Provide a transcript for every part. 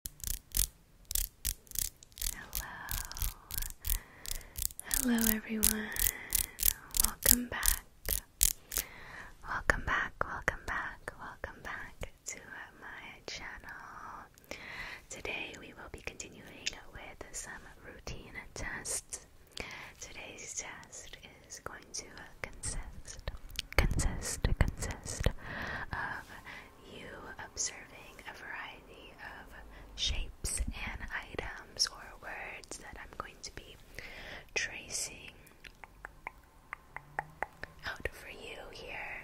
Hello, hello everyone. Welcome back. Welcome back, welcome back, welcome back to my channel. Today we will be continuing with some routine tests. Today's test is going to consist, consist, consist of you observing a variety of shapes and items or words that I'm going to be tracing out for you here,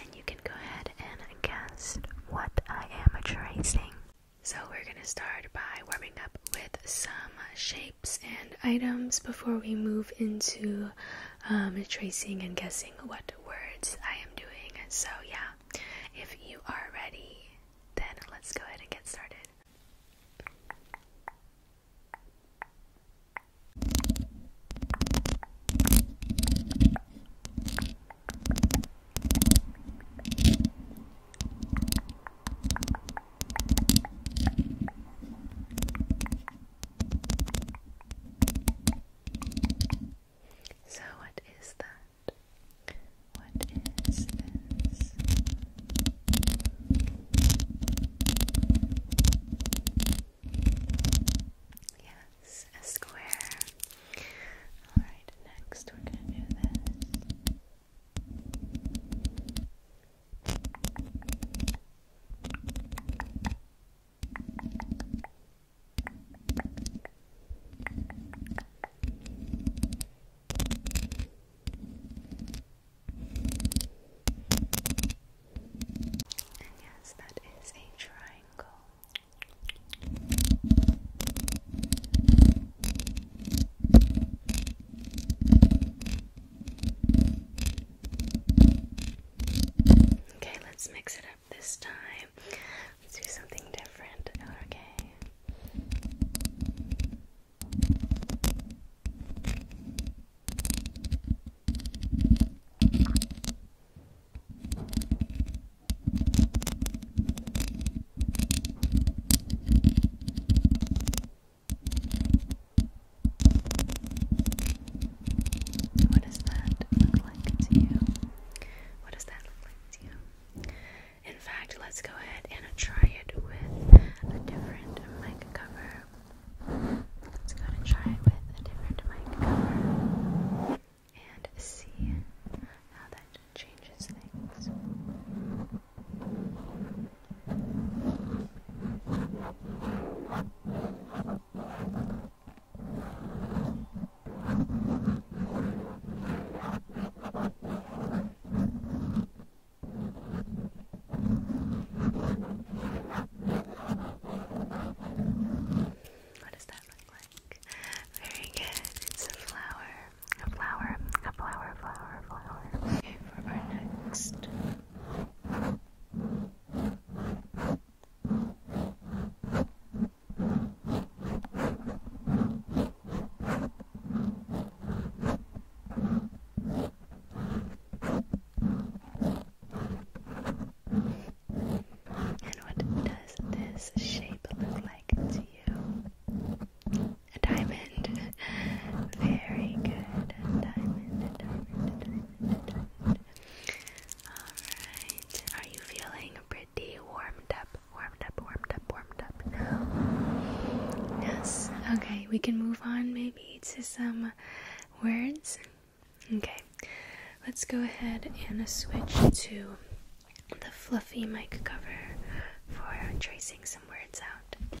and you can go ahead and guess what I am tracing. So, we're going to start by warming up with some shapes and items before we move into um, tracing and guessing what words I am doing. So, yeah, if you are ready, then let's go ahead and get started. So, what is that? What is this? Yes, a square. Alright, next we're going to do this. And yes, that is a triangle. Okay, let's mix it up this time. Let's do something different, okay? What does that look like to you? What does that look like to you? In fact, let's go ahead and try it with a different mic cover. Let's go ahead and try it with a different mic cover and see how that changes things. What does that look like? Very good. It's a flower. A flower. A flower. Flower. Flower. Okay, for our next and what does this shape look like to you? A diamond. Very good. Alright. Are you feeling pretty warmed up? Warmed up, warmed up, warmed up now. Yes. Okay, we can move on maybe to some words. Okay. Let's go ahead and switch to the fluffy mic cover for tracing some words out.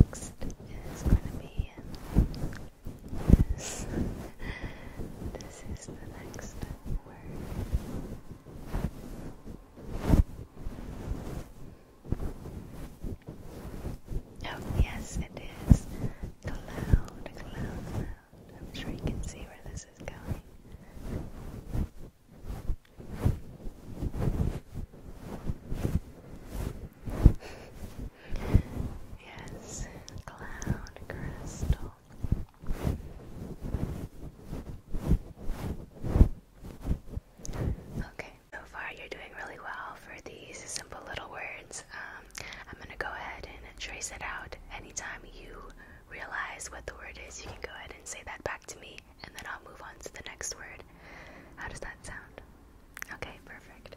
Next is going to be this. this is the next word. Oh, yes, it is. cloud, cloud. I'm sure you can see where this is going. yes, cloud crystal. Okay, so far you're doing really well for these simple little words. Um, I'm gonna go ahead and trace it out anytime you realize what the word is, you can go ahead and say that back to me, and then I'll move on to the next word. How does that sound? Okay, perfect.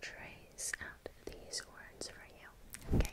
trace out these words for you. Okay.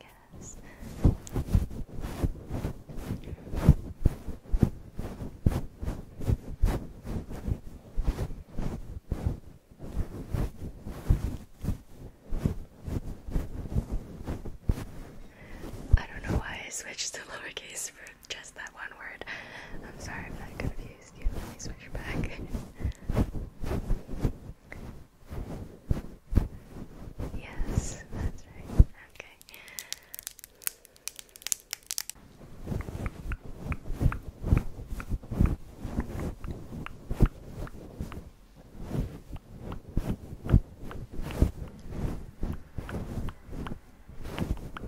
Yes. I don't know why I switched to lowercase for just that one word. I'm sorry if that confused you. Let me switch back. yes, that's right. Okay. Very good.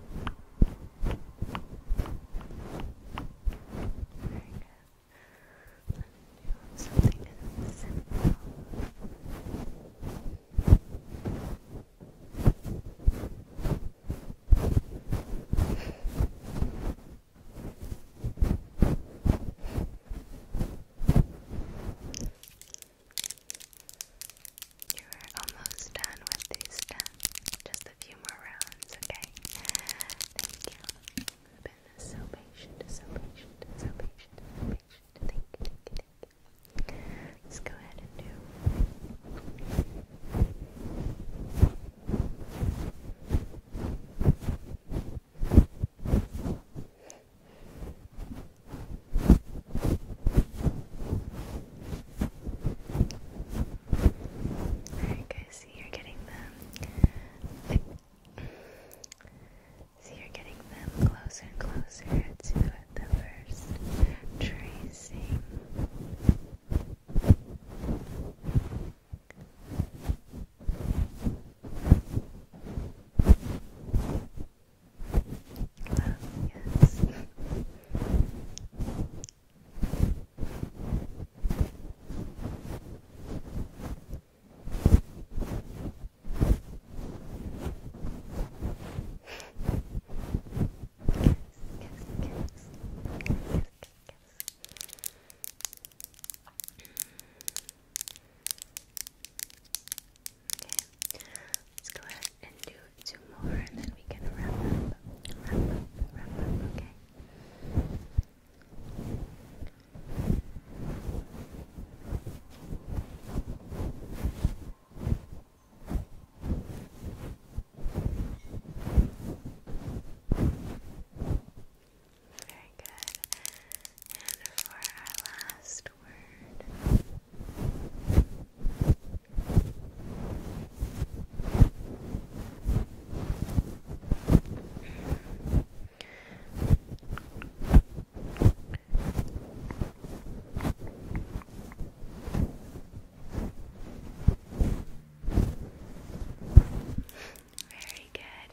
Let's do something simple. You're almost done with these steps. Just a few more rounds, okay? Thank you. been so patient, so patient, so patient, so patient. thank you. Let's go ahead and do. Alright see you're getting them See you're getting them closer and closer to the first tracing. Well, yes. Kiss, kiss, kiss. Okay, let's go ahead and do two more and then we can wrap up, wrap up, wrap up, okay? Very good. And for our last word. Very good.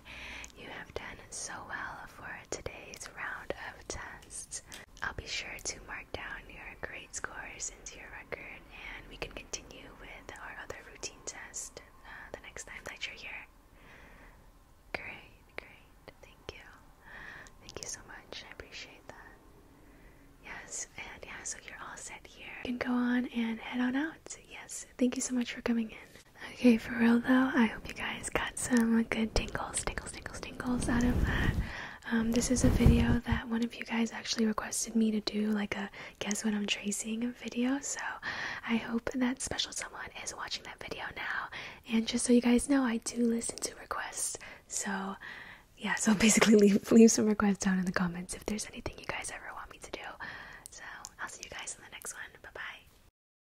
You have done so well for today's round of tests. I'll be sure to mark down your grade scores into your record, and we can continue with our other routine test uh, the next time that you're here. Great, great. Thank you. Thank you so much. I appreciate that. Yes, and yeah, so you're all set here. You can go on and head on out. Yes, thank you so much for coming in. Okay, for real though, I hope you guys got some good tingles, tingles, tingles, tingles out of that. Um, this is a video that one of you guys actually requested me to do, like a guess what I'm tracing video. So I hope that special someone is watching that video now. And just so you guys know, I do listen to requests. So yeah, so basically leave, leave some requests down in the comments if there's anything you guys ever want me to do. So I'll see you guys in the next one. Bye bye.